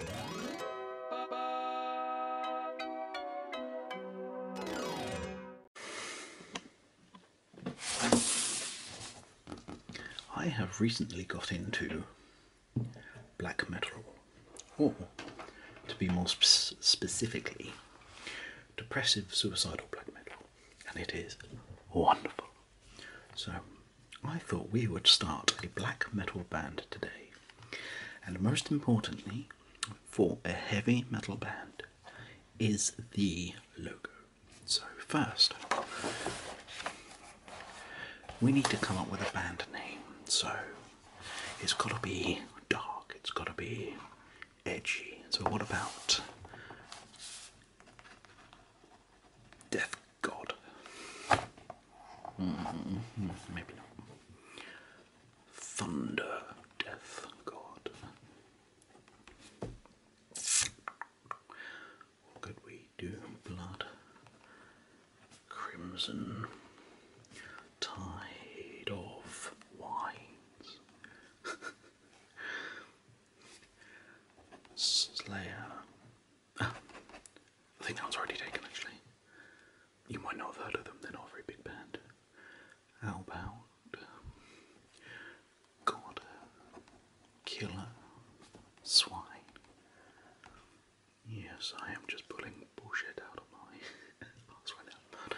I have recently got into black metal, or to be more specifically, depressive suicidal black metal, and it is wonderful. So I thought we would start a black metal band today, and most importantly, for a heavy metal band, is the logo. So, first, we need to come up with a band name. So, it's got to be dark, it's got to be edgy. So, what about Death God. Mm-hmm. maybe not. Thunder, death, God. What could we do? Blood, crimson, tide of wines. Slayer, I think that one's already taken actually. You might not have heard of them, they're not a very big band. How about God Killer Swine? Yes, I am just pulling bullshit out of my ass right now.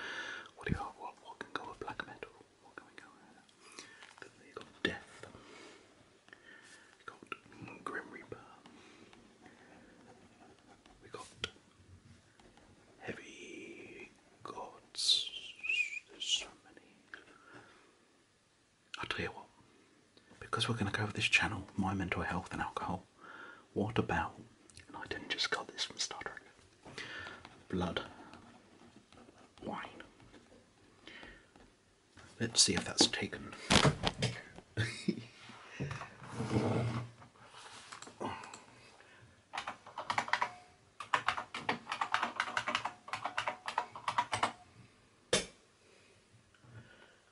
what do you what, what can go with black metal? What can we go with? They've death got Grim Reaper. We got Heavy Gods. There's so many. i tell you what, because we're going to go over this channel, my mental health and alcohol, what about, I didn't just cut this from Star Trek, blood, wine, Let's see if that's taken.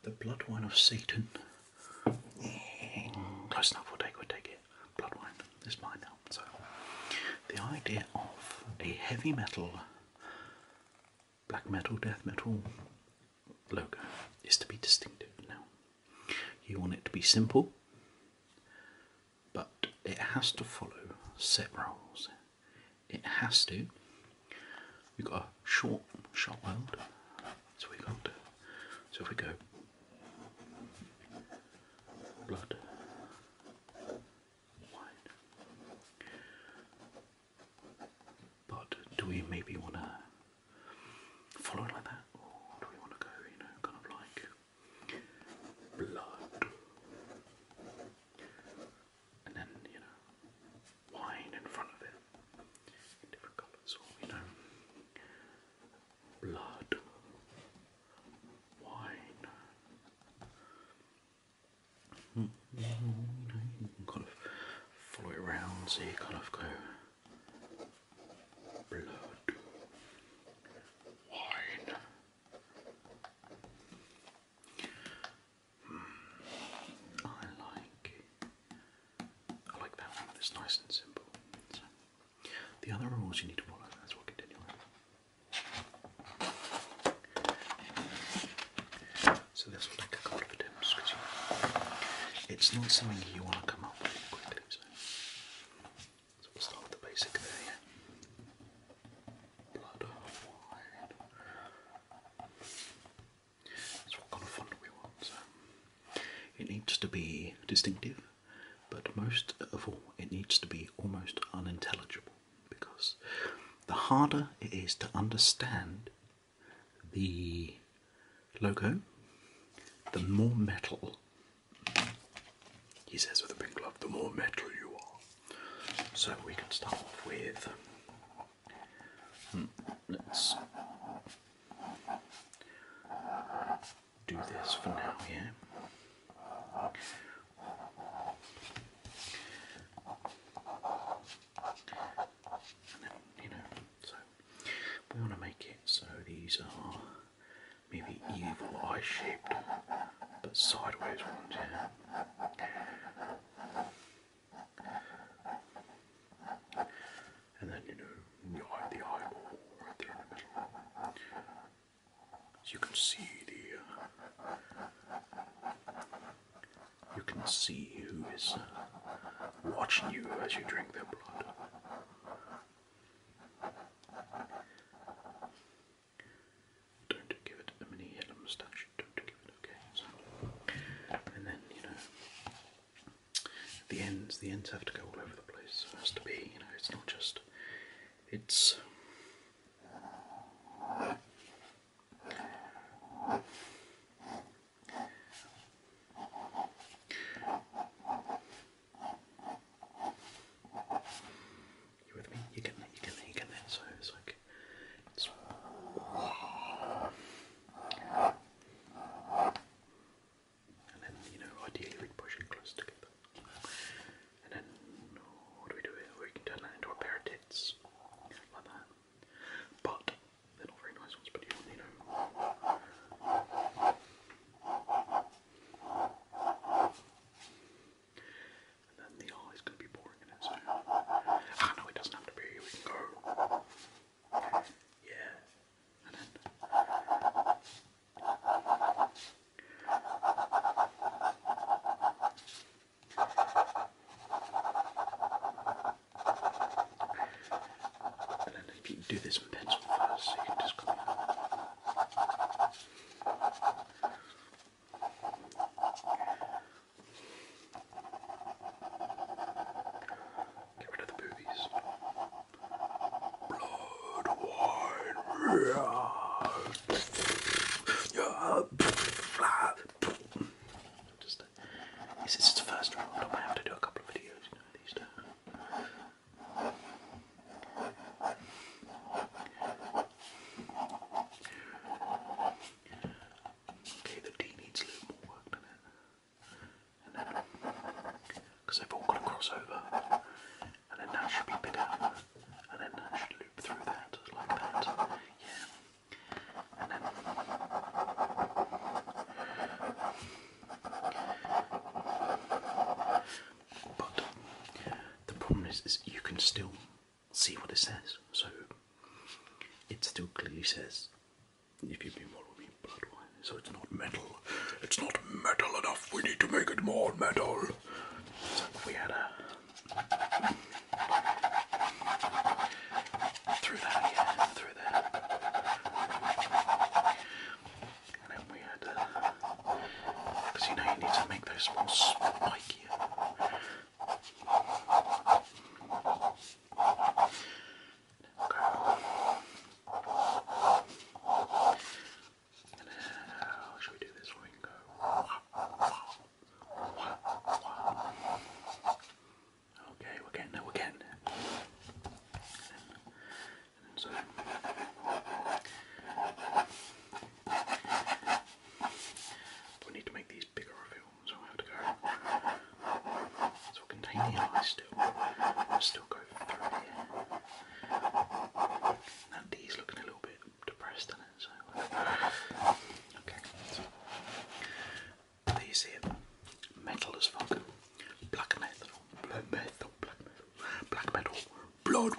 the blood wine of Satan. Close enough, we'll take, we take it. Bloodwine is mine now. So, the idea of a heavy metal black metal, death metal logo is to be distinctive now. You want it to be simple, but it has to follow set rules. It has to. We've got a short shot world. So we got so if we go blood but do we maybe want to follow it like that, or do we want to go, you know, kind of like blood, and then you know, wine in front of it different colours, or you know, blood, wine, kind of follow it around so you kind of go blood, wine. Hmm. I like I like that It's nice and simple. the other rules you need to follow. That's what continue. With. So this will a couple of attempts it's not something you want to come up with quickly. So, we'll start with the basic there. Yeah? Blood wine. That's what kind of font we want. So. It needs to be distinctive but most of all, it needs to be almost unintelligible because the harder it is to understand the logo, the more metal, he says with a pink glove, the more metal you are. So we can start off with. Hmm, let's do this for now, yeah? you know, so we want to make it so these are maybe evil eye shaped but sideways ones, yeah? And then, you know, in the the eyeball, right in the middle. you can see the. Uh, you can see who is uh, watching you as you drink their blood. Don't give it a mini yellow moustache. Don't give it okay. and then you know, the ends the ends have to go all over the place. has to be, you know, it's not just it's you with me? You getting you getting you getting So it's like and then, you know, ideally we'd push it close together. And then, oh, what do we do We can turn that into a pair of tits. Like that. But, they're not very nice ones, but you, know. And then the eye is going to be boring Ah, no, it doesn't have to be. We can go. Yeah. And then if you do this in pencil you can just Get rid of the boobies. Blood wine. Yeah. Yeah. Just, this is the first round. I might have to do a couple of videos, you know, these days. Okay, the D needs a little more work than it because they've all got a crossover, and then that should be bigger, and then that should loop through that like that. Yeah, and then but the problem is, is you can still see what it says, so it still clearly says if you mean what we mean, blood wine. So it's not metal. It's not metal enough. We need to make it more metal. So we had a. Through that, through that. And then we had. Because you know you need to make those more spiky. And should we do this Okay, we're getting there, we're getting there. so we need to make these bigger so we have to go. It's all contained still. still go through here. That looking a little bit depressed in it, so okay. So, you see it. Metal as fuck. Black metal. Black metal. Black metal. Black metal. Blood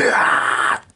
wine.